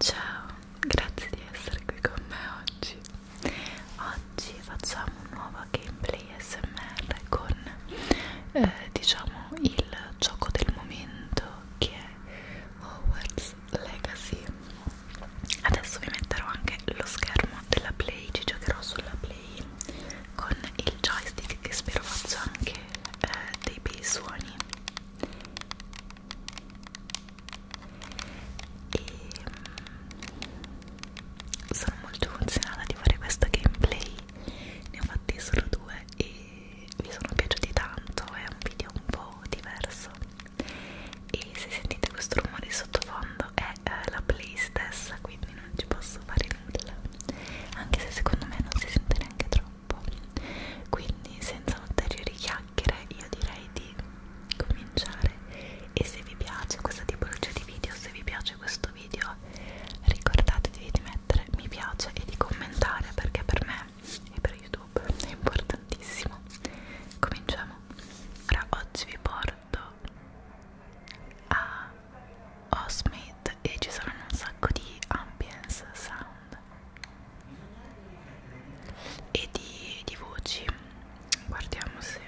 Ciao, grazie di essere qui con me oggi. Oggi facciamo un nuovo gameplay SMR con eh, diciamo il gioco del momento che è Hogwarts Legacy. Adesso vi metterò anche lo schermo della Play, ci giocherò sulla Play play con il joystick che spero faccia anche eh, dei bei suoni e mm, sono molto funzionata di fare questo gameplay ne ho fatti solo due e mi sono piaciuti tanto è un video un po' diverso e se sentite questo rumore sottofondo questo è eh, la play stessa quindi non ci posso fare nulla anche se secondo me non si sente neanche troppo quindi senza ulteriori chiacchiere io direi di cominciare e se vi piace questa tipologia di video se vi piace questo video ricordatevi di mettere mi piace e di commentare perché per me e per youtube è importantissimo cominciamo ora oggi vi porto fatto a Osmith e ci saranno un sacco di ambience sound e di, di voci guardiamo se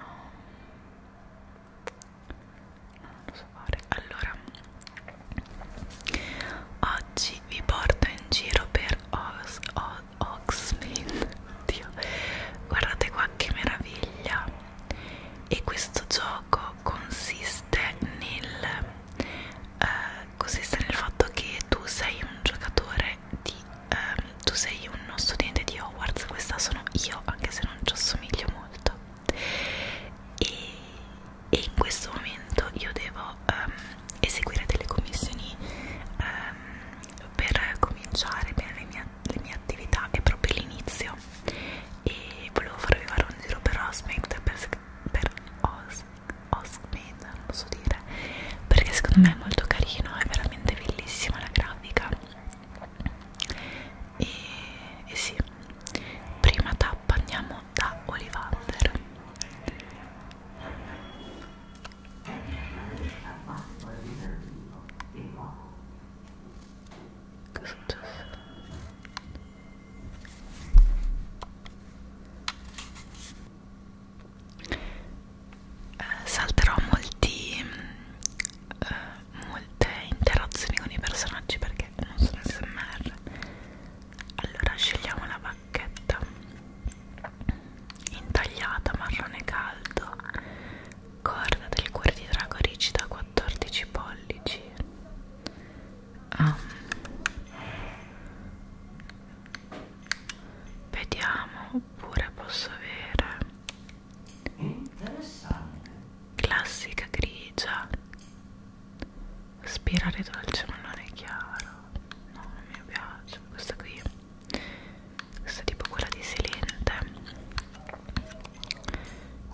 oh. non lo so fare allora oggi vi porto in giro per Ox, o, Oxmin Dio. guardate qua che meraviglia e questo gioco consiste nel, eh, consiste nel fatto che tu sei un giocatore di eh, tu sei uno studente di Hogwarts questa sono io anche se non ci assomiglio molto e, e in questo momento io devo ehm, eseguire delle commissioni ehm, per cominciare bene le mie le mie attività è proprio l'inizio e volevo farvi fare un giro per Osmed per, per Os, Osmed, non posso dire perché secondo me è molto carino è veramente bellissima la grafica e, e sì prima tappa andiamo da Olivander Cosa è successo? Eh, salterò molti, eh, molte interazioni con i personaggi perché non sono smr. Allora scegliamo la bacchetta intagliata marrone caldo corda del cuore di drago rigida 14 pollici um. vediamo oppure posso avere classica grigia spirale dolce ma non è chiaro no non mi piace questa qui questa è tipo quella di Silente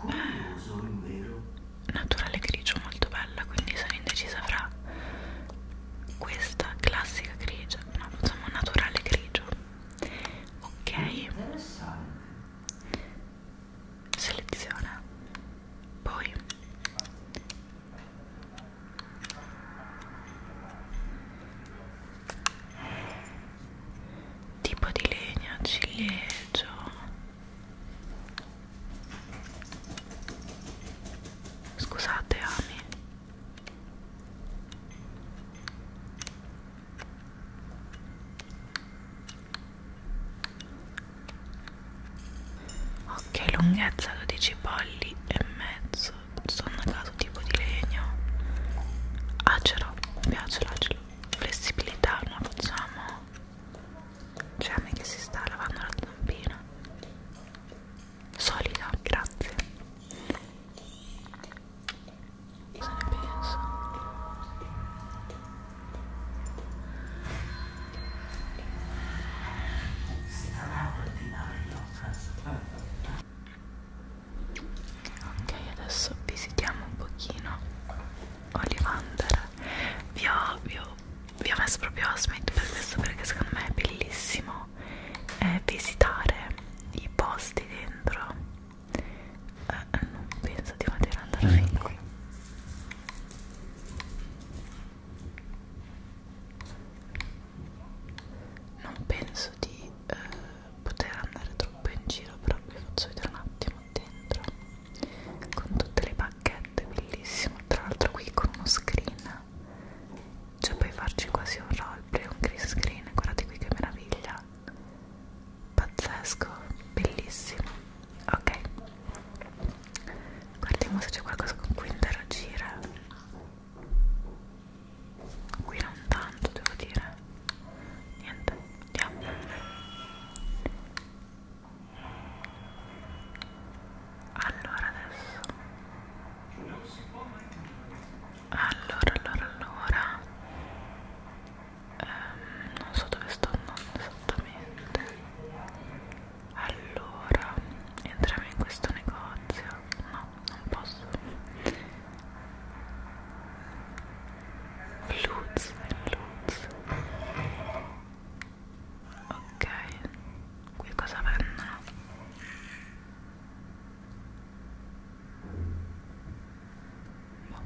eh, naturale grigio molto bella quindi sono indecisa fra questa classica grigia no, insomma naturale grigio ok seleziona poi tipo di legno ciliegio scusate ami ok lunghezza 12 polli e mezzo sono determinato tipo di legno acero, mi piace l'acero flessibilità, non la facciamo c'è a me che si sta lavando la zampina solida, grazie cosa ne penso? ok adesso visitiamo un pochino Olivander vi ho, vi ho, vi ho messo proprio Asmit per questo perché secondo me è bellissimo eh, visitare i posti dentro eh, non penso di poter andare mm. fin qui non penso di eh, poter andare troppo in giro però vi faccio vedere un attimo dentro con tutte le bacchette bellissimo tra l'altro qui con uno screen cioè puoi farci quasi un roleplay un green screen guardate qui che meraviglia pazzesco bellissimo ok guardiamo se c'è qualcosa con cui interagire qui non tanto devo dire niente andiamo allora adesso allora allora allora ehm, non so dove sto andando esattamente allora entriamo in questo negozio no non posso Luz, luz. Ok, qui cosa venne? Boh.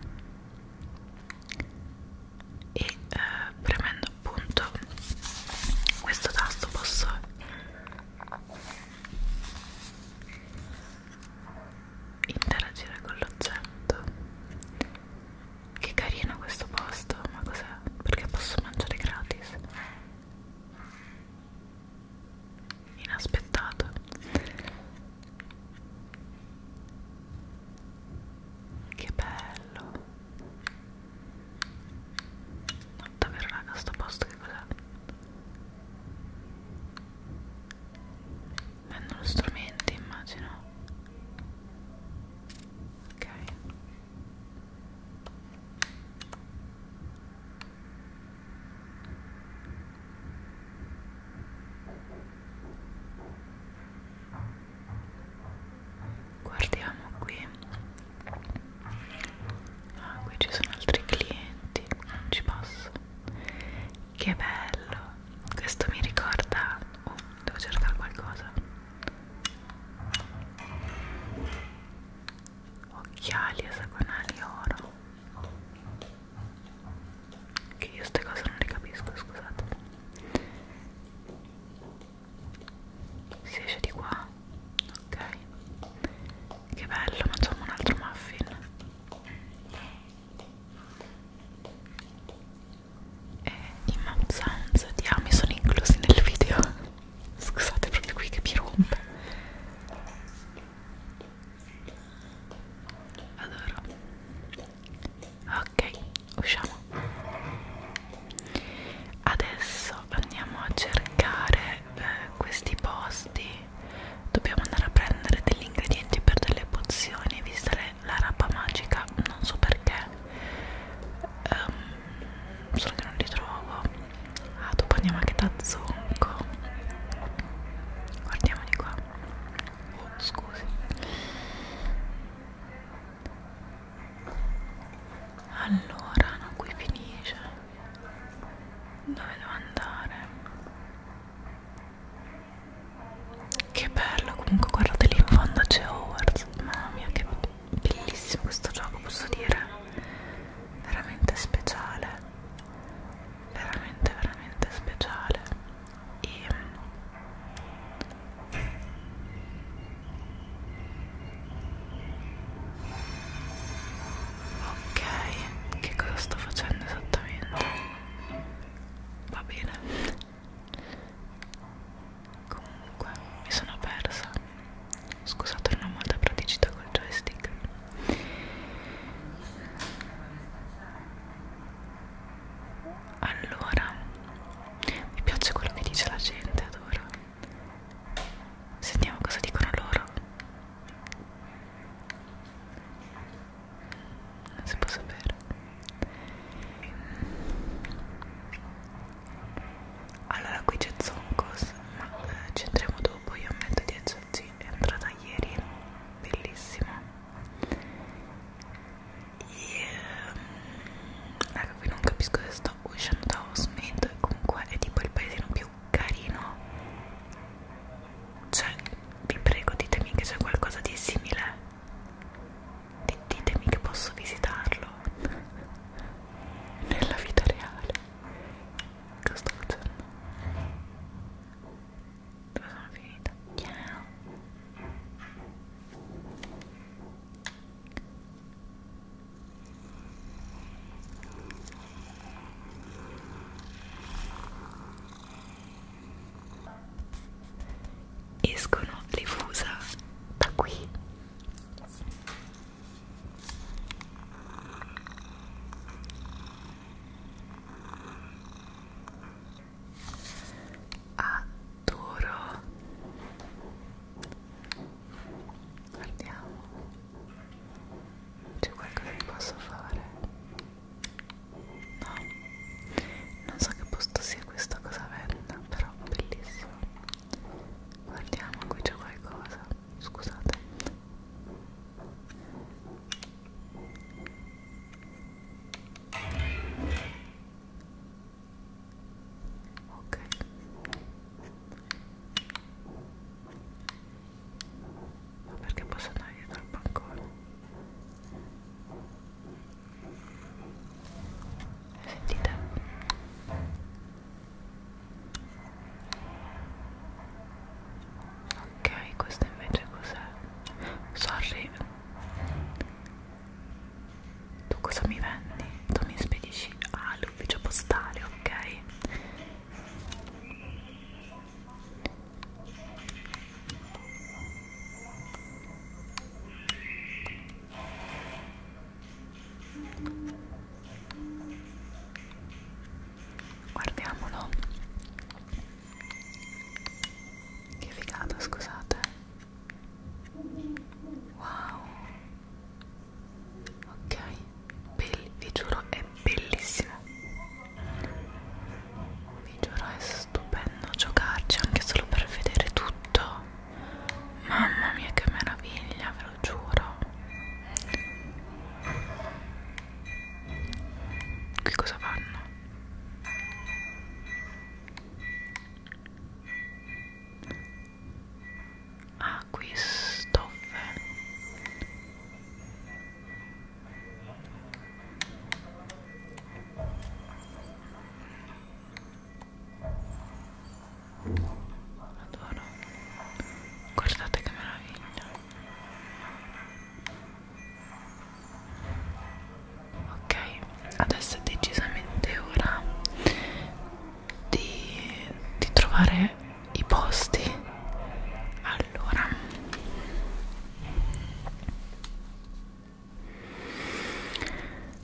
E eh, premendo appunto questo tasto posso interagire con l'oggetto che carino questo posto ma cos'è? perché posso mangiare gratis? inaspettato che bello no, davvero raga sto posto che cos'è? Vendo lo strumento, immagino. Ok. Guardiamo qui. Ah, qui ci sono altri clienti. Non ci passo. Che bello, questo mi ricorda. Oh, devo cercare qualcosa. Occhiali esagonali oro. Che io queste cose non le capisco, scusate. Si esce di qua. Ok. Che bello, mangiamo un altro muffin e eh, i map sounds di Ami sono inclusi nel video scusate proprio qui che mi rompe allora ok usciamo adesso andiamo a cercare eh, questi posti Dobbiamo andare a prendere degli ingredienti per delle pozioni, vista le, la rapa magica, non so perché. Um, solo che non li trovo. Ah, dopo andiamo anche da Zonco. Guardiamo di qua. Oh, scusi. Allora, no, qui finisce. Dove devo andare? Che bello, comunque guardate lì in fondo c'è Hogwarts, mamma mia che bellissimo questo gioco, posso dire, veramente speciale, veramente veramente speciale. E... Ok, che cosa sto facendo esattamente? va bene comunque mi sono persa scusate non ho molta praticità col joystick allora mi piace quello che dice la gente adoro sentiamo cosa dicono loro non si può sapere allora qui c'è Zonkos ma eh, ci andremo dopo io ammetto di esserci entrata ieri bellissimo yeah. ecco qui non capisco se sto uscendo da Osmid comunque è tipo il paesino più carino cioè, vi prego, ditemi che c'è qualcosa di simile. D ditemi che posso visitarlo nella vita reale. Cosa sto facendo? Dove sono finita? Ciao escono le fusa da qui adoro guardiamo c'è qualcosa che posso fare no non so che posto sia questa cosa venda però bellissimo guardiamo qui c'è qualcosa scusate ok perché posso andare dietro al bancone sentite ok questo invece cos'è sorry tu cosa mi vendi tu mi spedisci all'ufficio ah, postale ok Guardiamolo. Che figata, scusate. Wow. Ok, Bell, vi giuro è bellissimo vi giuro è stupendo giocarci anche solo per vedere tutto mamma mia che meraviglia ve lo giuro qui cosa fanno? ah qui stoffe Adoro. Guardate che meraviglia. Ok, adesso è decisamente ora di, di trovare i posti a allora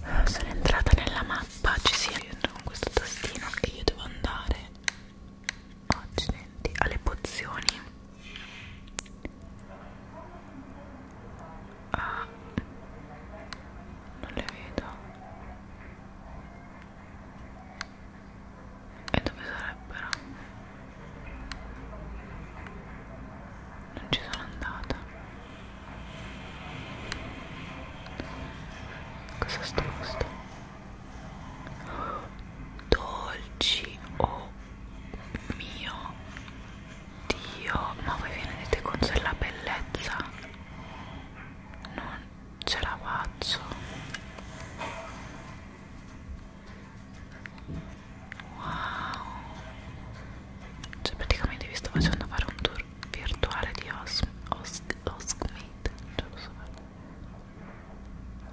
eh, sono entrata nella mappa ci si entra con questo tastino che io devo andare accidenti alle pozioni ah, non le vedo e dove sarebbero? non ci sono andata cosa sto gusto? dolci oh mio dio ma voi vi rendete conto della bellezza? non ce la faccio Wow, cioè praticamente vi sto facendo fare un tour virtuale di Osmith. Os Os so.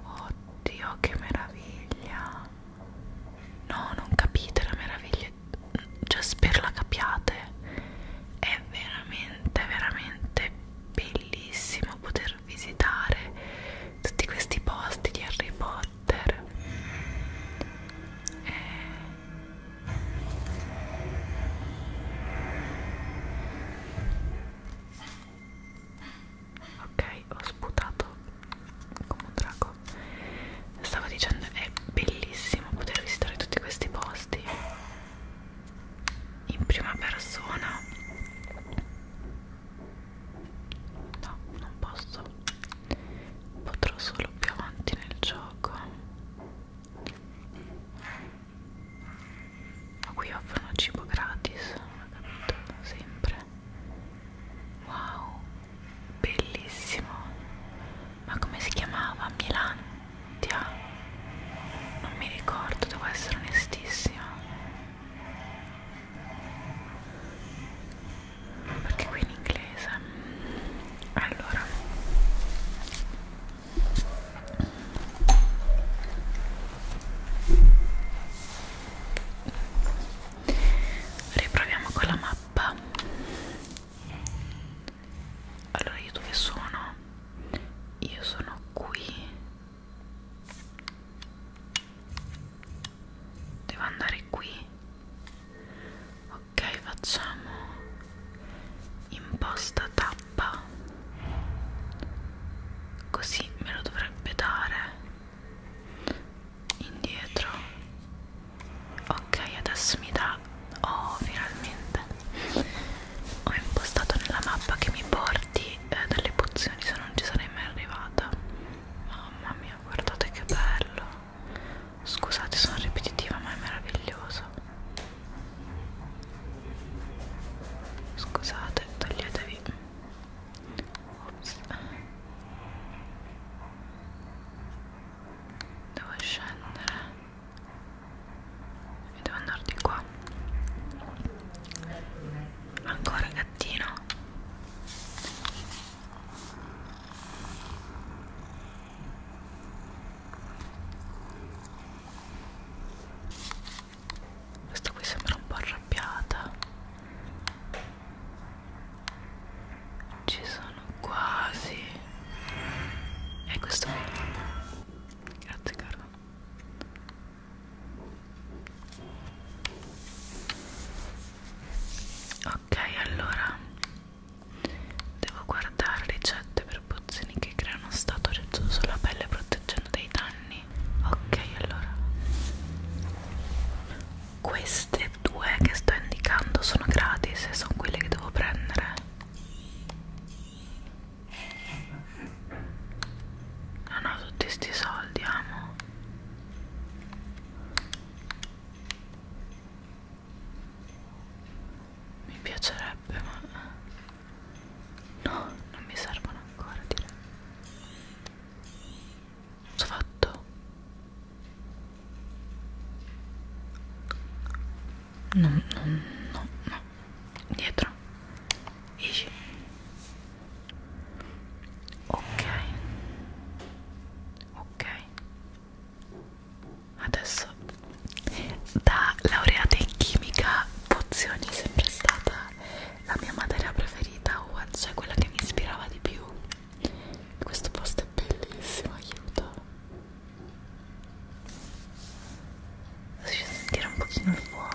Oddio, che meraviglia! No, non capite la meraviglia, cioè spero la capiate. È veramente, veramente bellissimo poter poter visitare tutti questi posti di Harry Potter e... Eh. ok ho sputato come un drago stavo dicendo è bellissimo poter visitare tutti questi posti in prima persona No, non posso. Potrò solo più avanti nel gioco. Ma qui offrono cibo gratis, non ho capito, sempre. Wow, bellissimo. Ma come si chiamava? Milantia? Non mi ricordo, devo essere onestissima perché qui in inglese allora riproviamo con la mappa allora io dove sono? io sono qui devo andare qui ok facciamo imposta tappa così me lo dovrebbe dare indietro ok adesso mi dà oh finalmente ho impostato nella mappa che mi porti eh, delle pozioni se non ci sarei mai arrivata Mamma mia, guardate che bello. Scusate, sono ripetitiva, ma è meraviglioso. Scusate, toglietevi. Ops. Devo scendere e devo andare di qua. Ancora gattino questo qui sembra un po' arrabbiata ci sono quasi e questo qui grazie caro ok allora devo guardare ricette per pozioni che creano stato reggio sulla pelle proteggendo dai danni ok allora queste due che sto indicando sono gratis e sono quelle che devo prendere non ho tutti sti soldi amo mi piacerebbe ma no, non mi servono ancora direi. Ho fatto. No, no, no, no. Dietro esci ok ok adesso da laureata in chimica pozioni è sempre stata la mia materia preferita cioè quella che mi ispirava di più questo posto è bellissimo aiuto Riesci a sentire un pochino il fuoco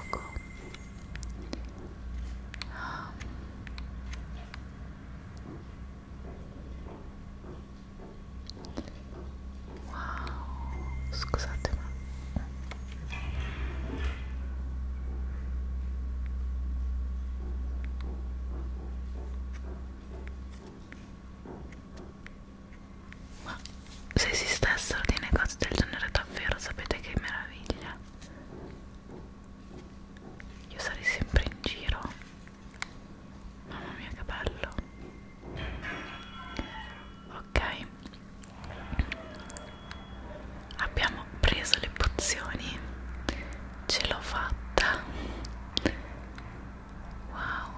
Wow, scusate ma ma se esistessero dei negozi del genere davvero sapete che meraviglia io sarei sempre in giro. Mamma mia che bello. Ok. Abbiamo preso le pozioni. Ce l'ho fatta. Wow.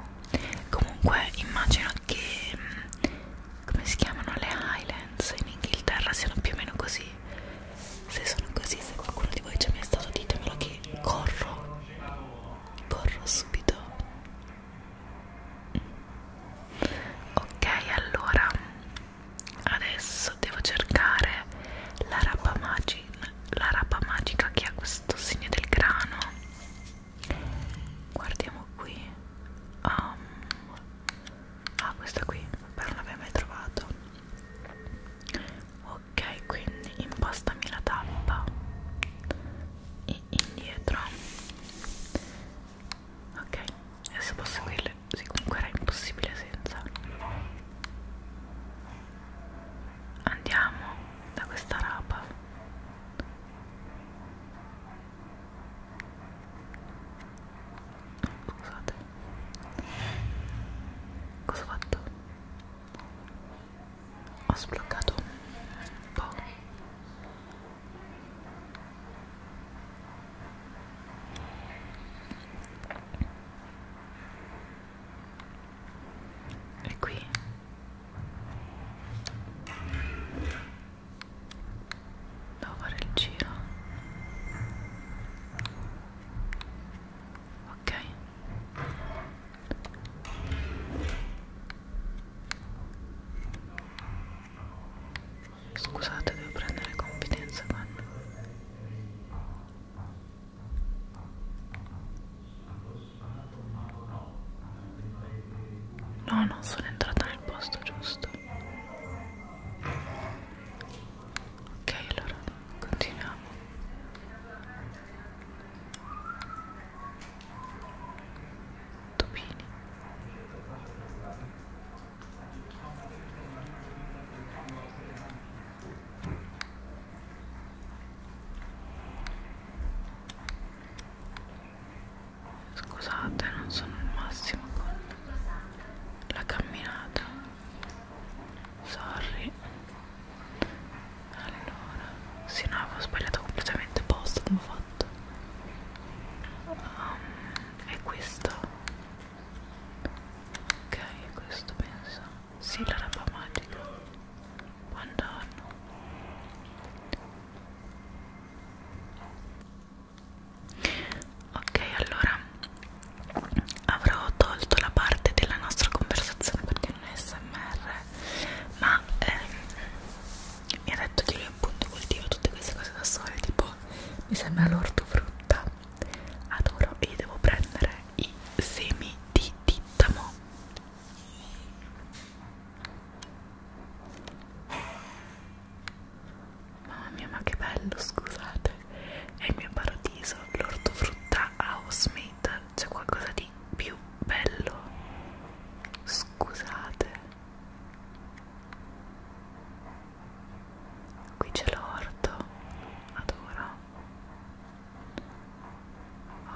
Comunque immagino che mm, come si chiamano le Highlands in Inghilterra siano più o meno così se sono così, se qualcuno di voi ci ha mai stato ditemelo che corro, corro subito. Ok, allora adesso devo cercare la rapa magica, la rapa magica che ha questo segno del grano. Guardiamo qui. Um, ah questa qui però non l'avevo mai trovato ok quindi impostami la tappa e indietro ok adesso posso seguirle sì comunque era impossibile senza andiamo da questa rapa Scusate Cosa ho fatto? Ho sbloccato un po' E qui devo fare il giro ok scusate devo prendere confidenza quando no non sono entrata nel posto giusto ok allora continuiamo Topini Scusate, non sono il massimo con la camminata sorry allora sì no avevo sbagliato completamente posto come ho fatto um, ehm, è questo ok è questo penso sì la roba magica buongiorno ok allora avrò tolto la parte della nostra conversazione perché non è smr ma ehm, mi ha detto che lui appunto coltiva tutte queste cose da sole tipo mi sembra l'ortofrutta adoro e devo prendere i semi di tittamo Mamma mia, ma che bello, scusate. È il mio paradiso, l'ortofrutta Housemate. C'è qualcosa di più bello. Scusate. Qui c'è l'orto. Adoro.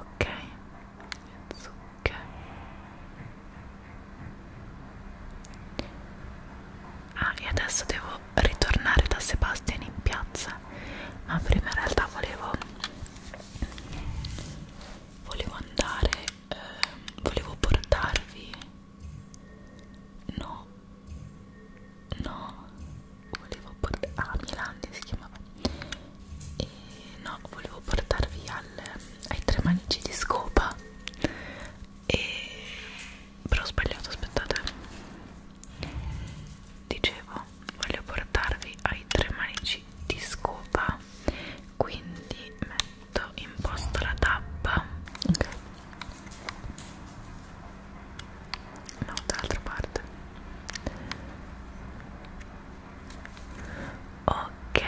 Ok. Le zucche. Ah, e adesso devo volevo ritornare da Sebastian in piazza ma prima in realtà volevo volevo andare eh, volevo portarvi no no volevo portarvi ah Milandi si chiamava e no volevo portarvi al, ai tre manici di scopa e però ho sbagliato aspettate dicevo voglio portarvi ai tre manici di scopa quindi metto in posto la tappa ok no dall'altra parte ok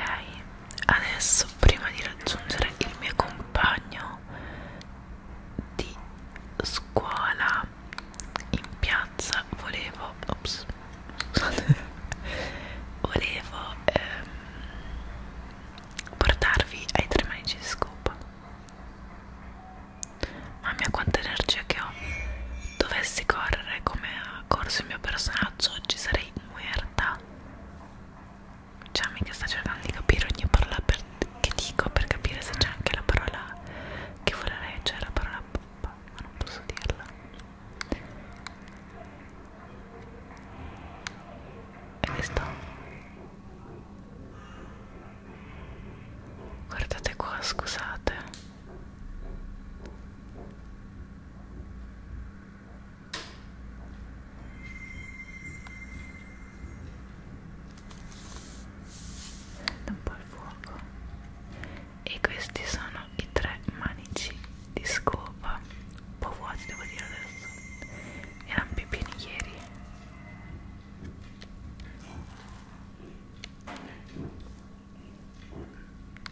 adesso prima di raggiungere il mio compagno di scuola in piazza volevo ops, volevo ehm, portarvi ai tre manici di scopa mamma mia quanta energia che ho dovessi correre come ha corso il mio personaggio oggi sarei muerta cioè, mica sta cercando di capire ogni parola per, che dico per capire se c'è anche la parola che vorrei, cioè la parola poppa, ma non posso dirla. E questo? Guardate qua, scusate un po' al fuoco e questi sono i tre manici di scopa un po' vuoti devo dire adesso erano più pieni ieri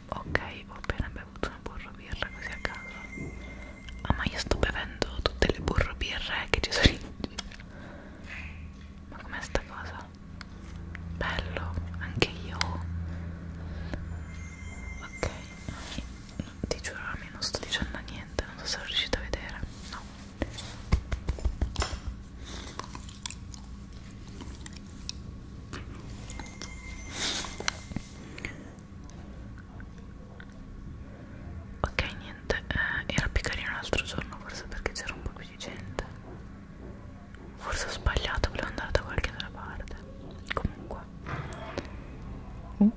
ok ho appena bevuto una burro birra così a caso Ah ma io sto bevendo tutte le burro birre che ci sono in Ma com'è sta cosa? Bello, anche io Ok, ti giuro a me non sto dicendo niente, non so se lo riuscite a vedere No ok niente eh, era più carino l'altro giorno forse perché c'era un po' più di gente forse ho sbagliato volevo andare da qualche altra parte comunque uh.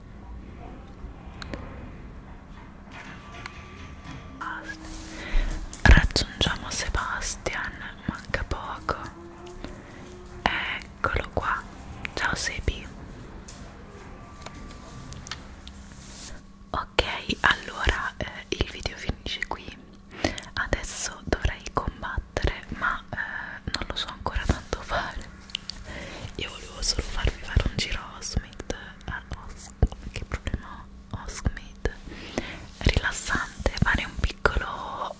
raggiungiamo Sebastian manca poco eccolo qua ciao Sebi ok allora eh, il video finisce qui adesso dovrei combattere ma eh, non lo so ancora tanto fare io volevo solo farvi fare un giro a Osmid eh, Os che problema ho? Osmid rilassante fare un piccolo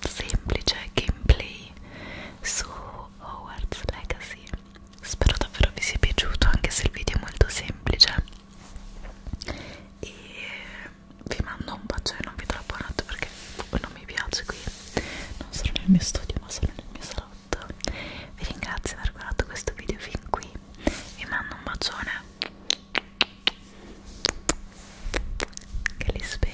semplice gameplay su Howard's Legacy spero davvero vi sia piaciuto anche se il video è molto semplice e vi mando un bacio e non vi do l'abbonato perché non mi piace qui non sono nel mio studio ma sono nel mio salotto vi ringrazio per aver guardato questo video fin qui vi mando un bacione che li spera